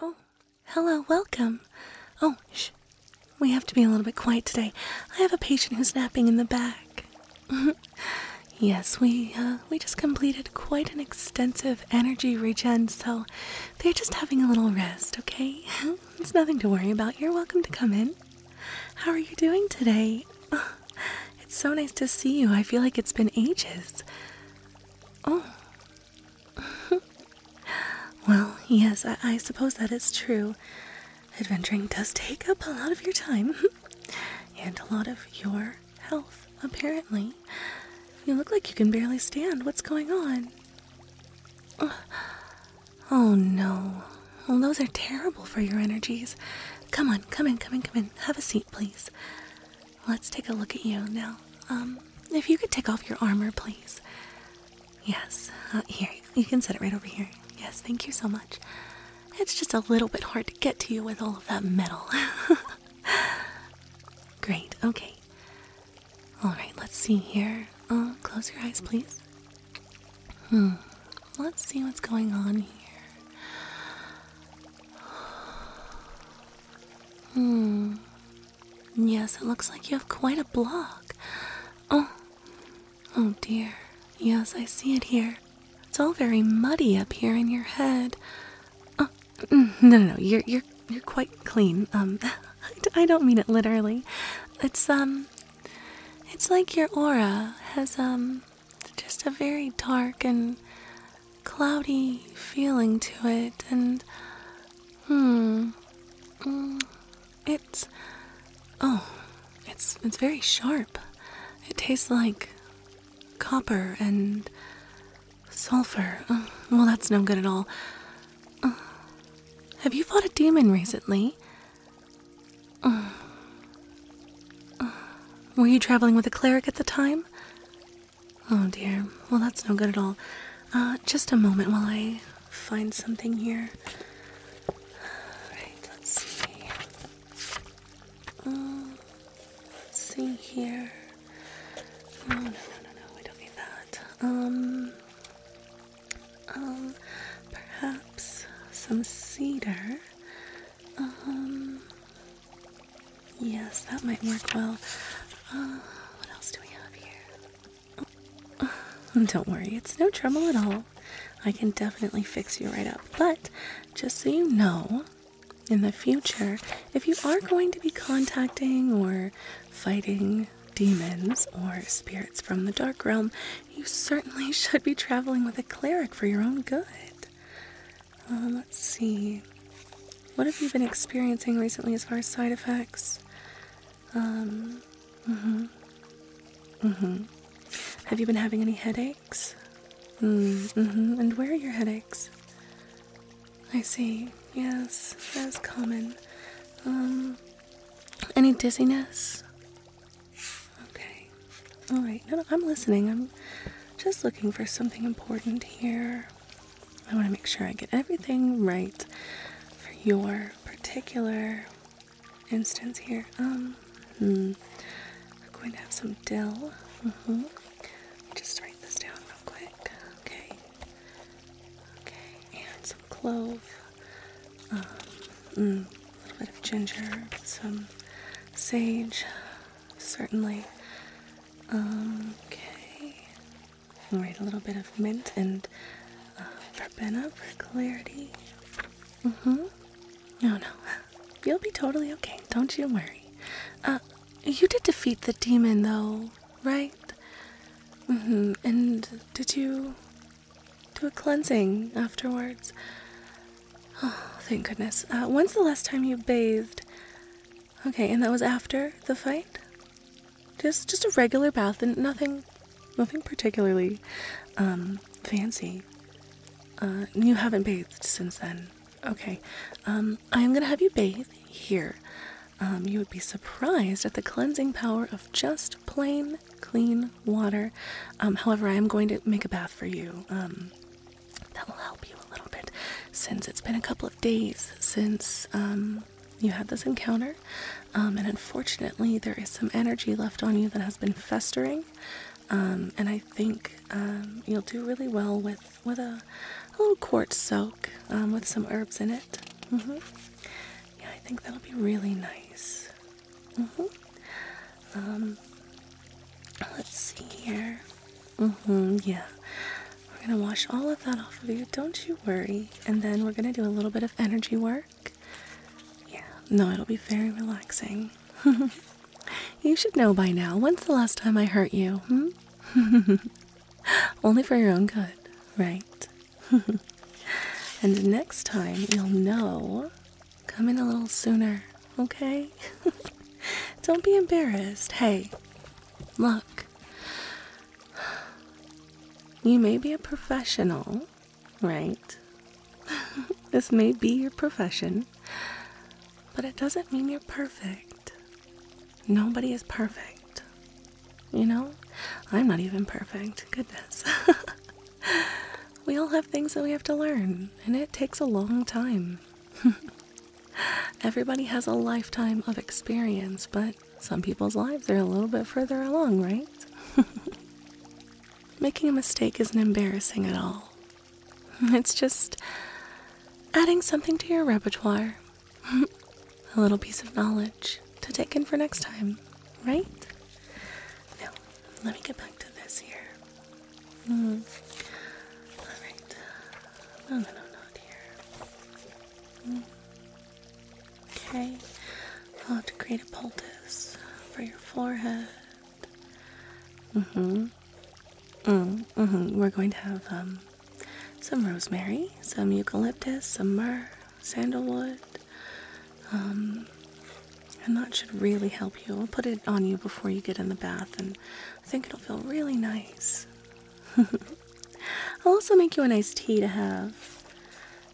Oh, hello, welcome. Oh, shh. We have to be a little bit quiet today. I have a patient who's napping in the back. yes, we uh, we just completed quite an extensive energy regen, so they're just having a little rest, okay? it's nothing to worry about. You're welcome to come in. How are you doing today? it's so nice to see you. I feel like it's been ages. Oh, well, yes, I, suppose that is true. Adventuring does take up a lot of your time and a lot of your health, apparently. You look like you can barely stand. What's going on? Oh no. those are terrible for your energies. Come on, come in, come in, come in. Have a seat, please. Let's take a look at you now. Um, if you could take off your armor, please. Yes, uh, here, you can set it right over here. Yes, thank you so much. It's just a little bit hard to get to you with all of that metal. Great, okay. Alright, let's see here. Uh, close your eyes, please. Hmm, let's see what's going on here. Hmm. Yes, it looks like you have quite a block. Oh. Oh dear. Yes, I see it here. It's all very muddy up here in your head. Oh. Mm, no, no, no. You're you're you're quite clean. Um I don't mean it literally. It's um it's like your aura has um just a very dark and cloudy feeling to it, and hmm, mm, it's oh, it's it's very sharp. It tastes like copper and sulfur. Uh, well, that's no good at all. Uh, have you fought a demon recently? Uh, were you traveling with a cleric at the time? Oh dear. Well, that's no good at all. Uh, just a moment while I find something here. Alright, let's see. Uh, let's see here. Oh, no, no, no, no. We don't need that. Um, um, perhaps some cedar. Um, Yes, that might work well. Uh, what else do we have here? Oh, don't worry, it's no trouble at all. I can definitely fix you right up. But just so you know, in the future, if you are going to be contacting or fighting demons or spirits from the dark realm, you certainly should be traveling with a cleric for your own good. Uh, let's see. What have you been experiencing recently as far as side effects? Um, mm-hmm. Mm-hmm. Have you been having any headaches? Mm, mm-hmm. And where are your headaches? I see. Yes, that is common. Um, any dizziness? Okay. All right. No, no, I'm listening. I'm just looking for something important here. I want to make sure I get everything right for your particular instance here. Um, hmm. I'm going to have some dill. Mm-hmm. Just write this down real quick. Okay. Okay. And some clove. Um, mm, a little bit of ginger. Some sage. Certainly Okay. All right, a little bit of mint and uh, verbena for clarity. mm No, no. You'll be totally okay. Don't you worry. Uh, you did defeat the demon, though, right? Mm-hmm. And did you do a cleansing afterwards? Oh, thank goodness. Uh, when's the last time you bathed? Okay, and that was after the fight? Just just a regular bath and nothing nothing particularly um fancy. Uh you haven't bathed since then. Okay. Um I am going to have you bathe here. Um you would be surprised at the cleansing power of just plain clean water. Um however, I am going to make a bath for you. Um that will help you a little bit since it's been a couple of days since um, you had this encounter. Um, and unfortunately, there is some energy left on you that has been festering. Um, and I think um, you'll do really well with, with a, little quartz soak with some herbs in it. Mm-hmm. Yeah, I think that'll be really nice. Mm-hmm. let's see here hmm yeah. We're gonna wash all of that off of you, don't you worry. And then we're gonna do a little bit of energy work. Yeah, no, it'll be very relaxing. you should know by now. When's the last time I hurt you? Hmm? Only for your own good, right? and next time you'll know. Come in a little sooner, okay? Don't be embarrassed. Hey, Look, you may be a professional, right? this may be your profession, but it doesn't mean you're perfect. Nobody is perfect. You know, I'm not even perfect. Goodness. we all have things that we have to learn, and it takes a long time. Everybody has a lifetime of experience, but some people's lives are a little bit further along, right? Making a mistake isn't embarrassing at all. It's just adding something to your repertoire, a little piece of knowledge to take in for next time, right? Now, let me get back to this here. Hmm. All right. No, no, not here. Okay, I'll have to create a poultice for your forehead. Mm-hmm. Mm, mm-hmm. We're going to have um, some rosemary, some eucalyptus, some myrrh, sandalwood. Um, and that should really help you. I'll put it on you before you get in the bath, and I think it'll feel really nice. I'll also make you a nice tea to have.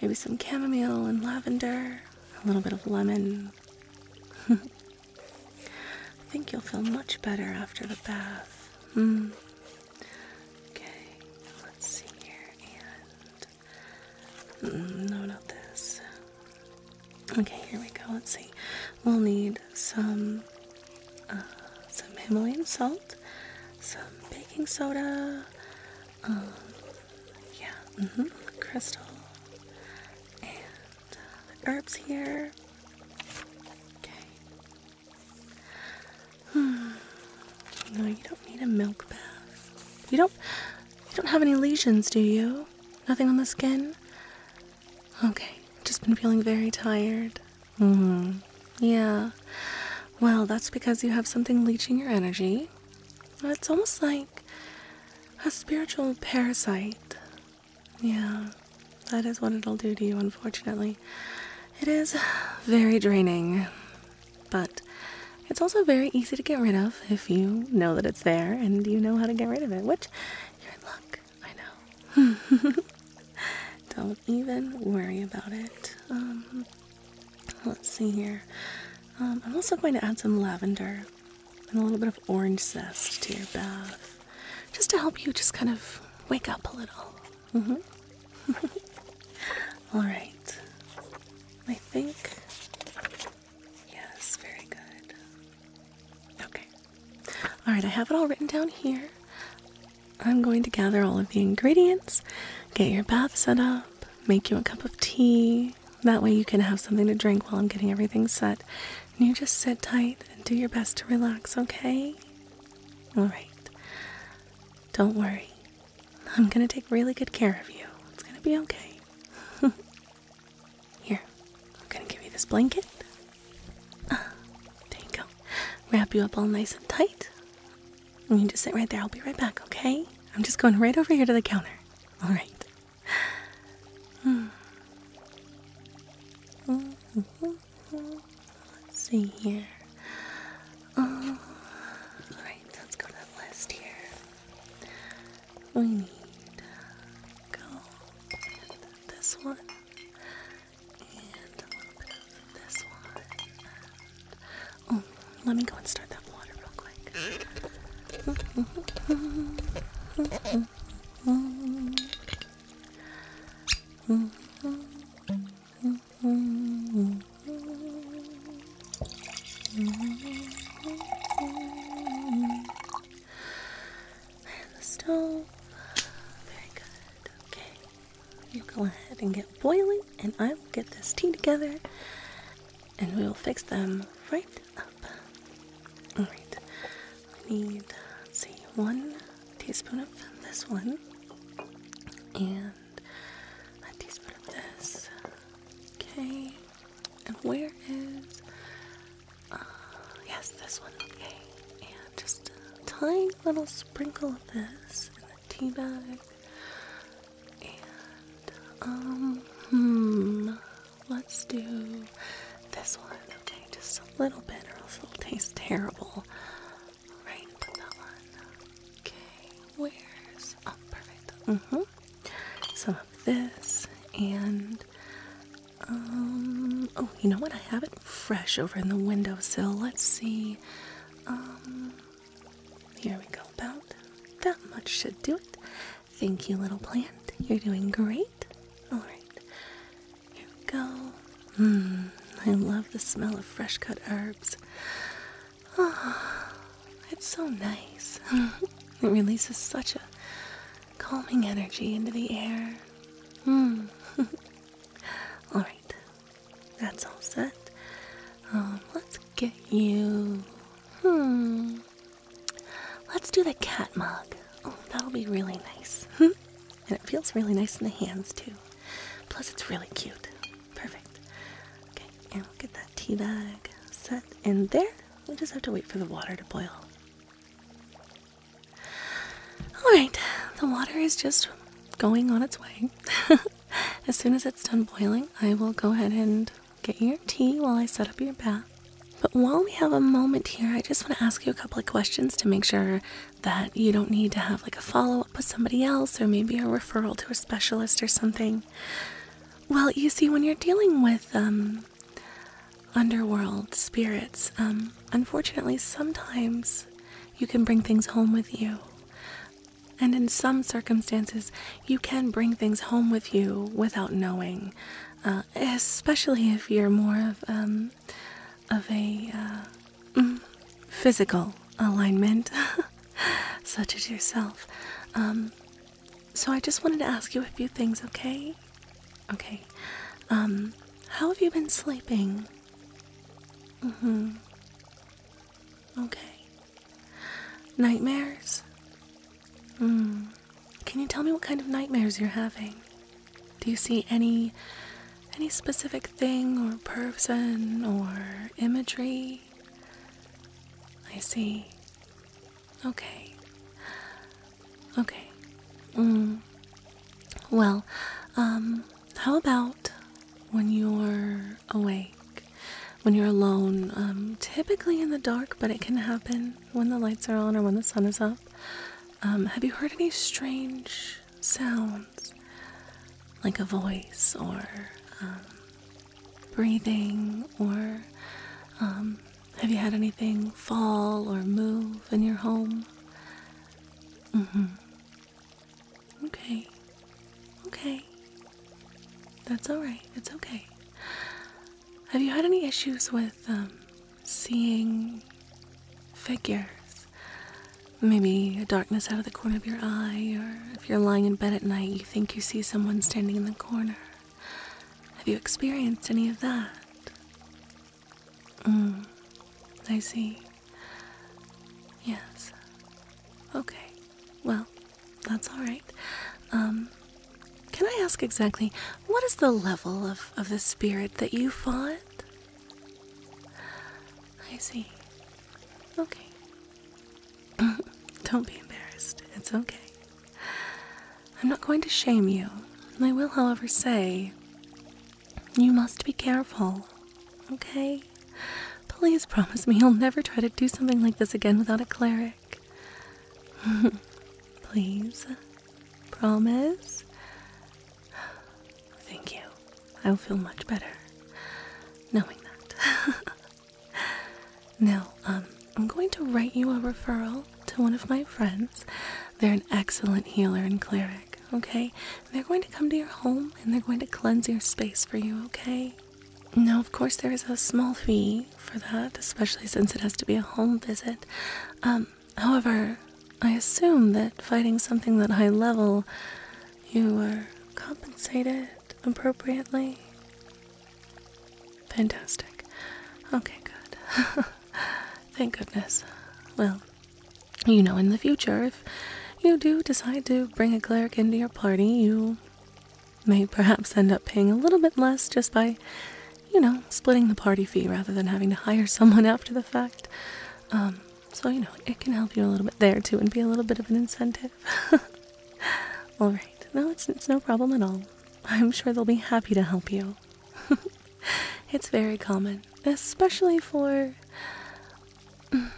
Maybe some chamomile and lavender, a little bit of lemon. I think you'll feel much better after the bath. Hmm. Okay, let's see here. Mm, no, not this. Okay, here we go. Let's see. We'll need some uh, some Himalayan salt, some baking soda, um, yeah, mm-hmm, crystal, and uh, herbs here. Okay. Hmm. No, you don't need a milk bath. You don't. You don't have any lesions, do you? Nothing on the skin? Okay, just been feeling very tired. hmm. Yeah. Well, that's because you have something leeching your energy. It's almost like a spiritual parasite. Yeah, that is what it'll do to you, unfortunately. It is very draining, but it's also very easy to get rid of if you know that it's there and you know how to get rid of it, which you're in luck. I know. Don't even worry about it. Um, let's see here. Um, I'm also going to add some lavender and a little bit of orange zest to your bath, just to help you just kind of wake up a little. Mm-hmm. All right. I think. Yes, very good. Okay. All right, I have it all written down here. I'm going to gather all of the ingredients, get your bath set up, make you a cup of tea. That way, you can have something to drink while I'm getting everything set. And you just sit tight and do your best to relax, okay? All right. Don't worry. I'm going to take really good care of you. It's going to be okay. Here, I'm going to give you this blanket. There you go. Wrap you up all nice and tight. And you just sit right there. I'll be right back, okay? I'm just going right over here to the counter. All right. Let's see here. Oh, all right, let's go to the list here. We need go this one and a little bit of this one. And, oh, let me go and start that water real quick and the stove. Very good. Okay. You go ahead and get boiling, and I will get this tea together and we will fix them right up. Alright. I need, say one teaspoon of this one and a teaspoon of this. Okay. And where is. Uh, yes, this one. Okay. And just a tiny little sprinkle of this in the tea bag. And, um, hmm, let's do this one, okay? Just a little bit, or else it'll taste terrible. Right, put that one. Okay, where's. Oh, perfect. Mm hmm. Some of this, and um, oh, you know what? I have it fresh over in the windowsill. Let's see. Um, here we go. About that much should do it. Thank you, little plant. You're doing great. All right. Here we go. Hmm, I love the smell of fresh cut herbs. Oh, it's so nice. it releases such a calming energy into the air. Hmm. Alright, that's all set. Um, let's get you. Hmm. Let's do the cat mug. Oh, that'll be really nice. and it feels really nice in the hands, too. Plus, it's really cute. Perfect. Okay, and we'll get that tea bag set in there. We just have to wait for the water to boil. Alright, the water is just going on its way. as soon as it's done boiling, I will go ahead and get your tea while I set up your bath. But while we have a moment here, I just want to ask you a couple of questions to make sure that you don't need to have like a follow up with somebody else or maybe a referral to a specialist or something. Well, you see, when you're dealing with um, underworld spirits, um, unfortunately, sometimes you can bring things home with you. And in some circumstances, you can bring things home with you without knowing, uh, especially if you're more of um, a uh, mm, physical alignment, such as yourself. Um, so I just wanted to ask you a few things, okay? Okay. Um, how have you been sleeping? Mm hmm. Okay. Nightmares? Hmm. Can you tell me what kind of nightmares you're having? Do you see any any specific thing or person or imagery? I see. Okay. Okay. Mm. Well, um, how about when you're awake? When you're alone, um, typically in the dark, but it can happen when the lights are on or when the sun is up. Um, have you heard any strange sounds? Like a voice or breathing, or have you had anything fall or move in your home? Mm-hmm. Okay. Okay. That's alright. It's okay. Have you had any issues with um, seeing figures? Maybe a darkness out of the corner of your eye, or if you're lying in bed at night, you think you see someone standing in the corner. Have you experienced any of that? Mm, I see. Yes. Okay. Well, that's all right. Um, can I ask exactly what is the level of, of the spirit that you fought? I see. Okay. Don't be embarrassed. It's okay. I'm not going to shame you. I will, however, say you must be careful, okay? Please promise me you'll never try to do something like this again without a cleric. Please. Promise? Thank you. I will feel much better knowing that. now, um, I'm going to write you a referral to one of my friends. They're an excellent healer and cleric okay? They're going to come to your home and they're going to cleanse your space for you, okay? Now, of course, there is a small fee for that, especially since it has to be a home visit. Um, however, I assume that fighting something that high level, you were compensated appropriately. Fantastic. Okay, good. Thank goodness. Well, you know, in the future, if you do decide to bring a cleric into your party, you may perhaps end up paying a little bit less just by, you know, splitting the party fee rather than having to hire someone after the fact. Um, so, you know, it can help you a little bit there too and be a little bit of an incentive. Alright, no, it's, it's no problem at all. I'm sure they'll be happy to help you. it's very common, especially for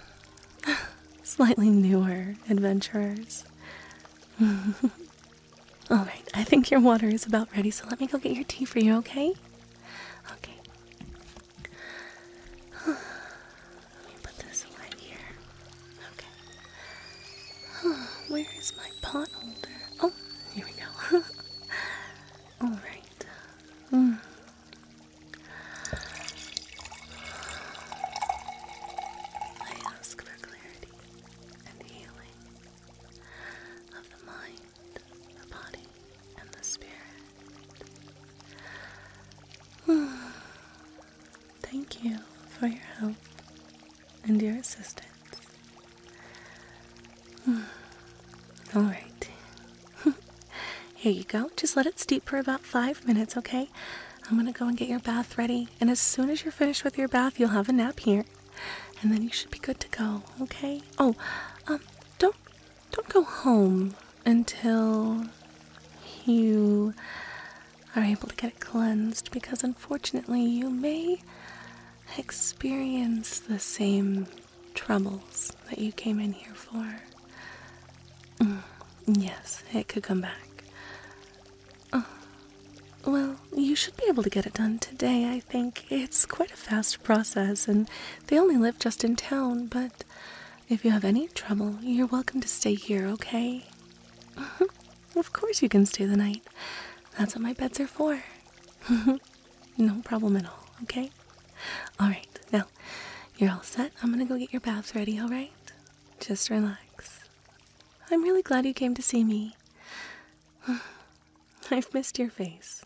slightly newer adventurers. Alright, I think your water is about ready, so let me go get your tea for you, okay? Okay. Let me put this right here. Okay. Where is my pot holder? Oh, here we go. Alright. I ask for clarity and healing of the mind, the body, and the spirit. Thank you for your help and your assistance Hmm. All right. Here you go. Just let it steep for about five minutes, okay? I'm gonna go and get your bath ready, and as soon as you're finished with your bath, you'll have a nap here, and then you should be good to go, okay? Oh, um, don't don't go home until you are able to get it cleansed, because unfortunately, you may experience the same troubles that you came in here for. Mm, yes, it could come back. Uh, well, you should be able to get it done today, I think. It's quite a fast process, and they only live just in town, but if you have any trouble, you're welcome to stay here, okay? of course, you can stay the night. That's what my beds are for. No problem at all, okay? Alright, now you're all set. I'm gonna go get your baths ready, alright? Just relax. I'm really glad you came to see me. I've missed your face.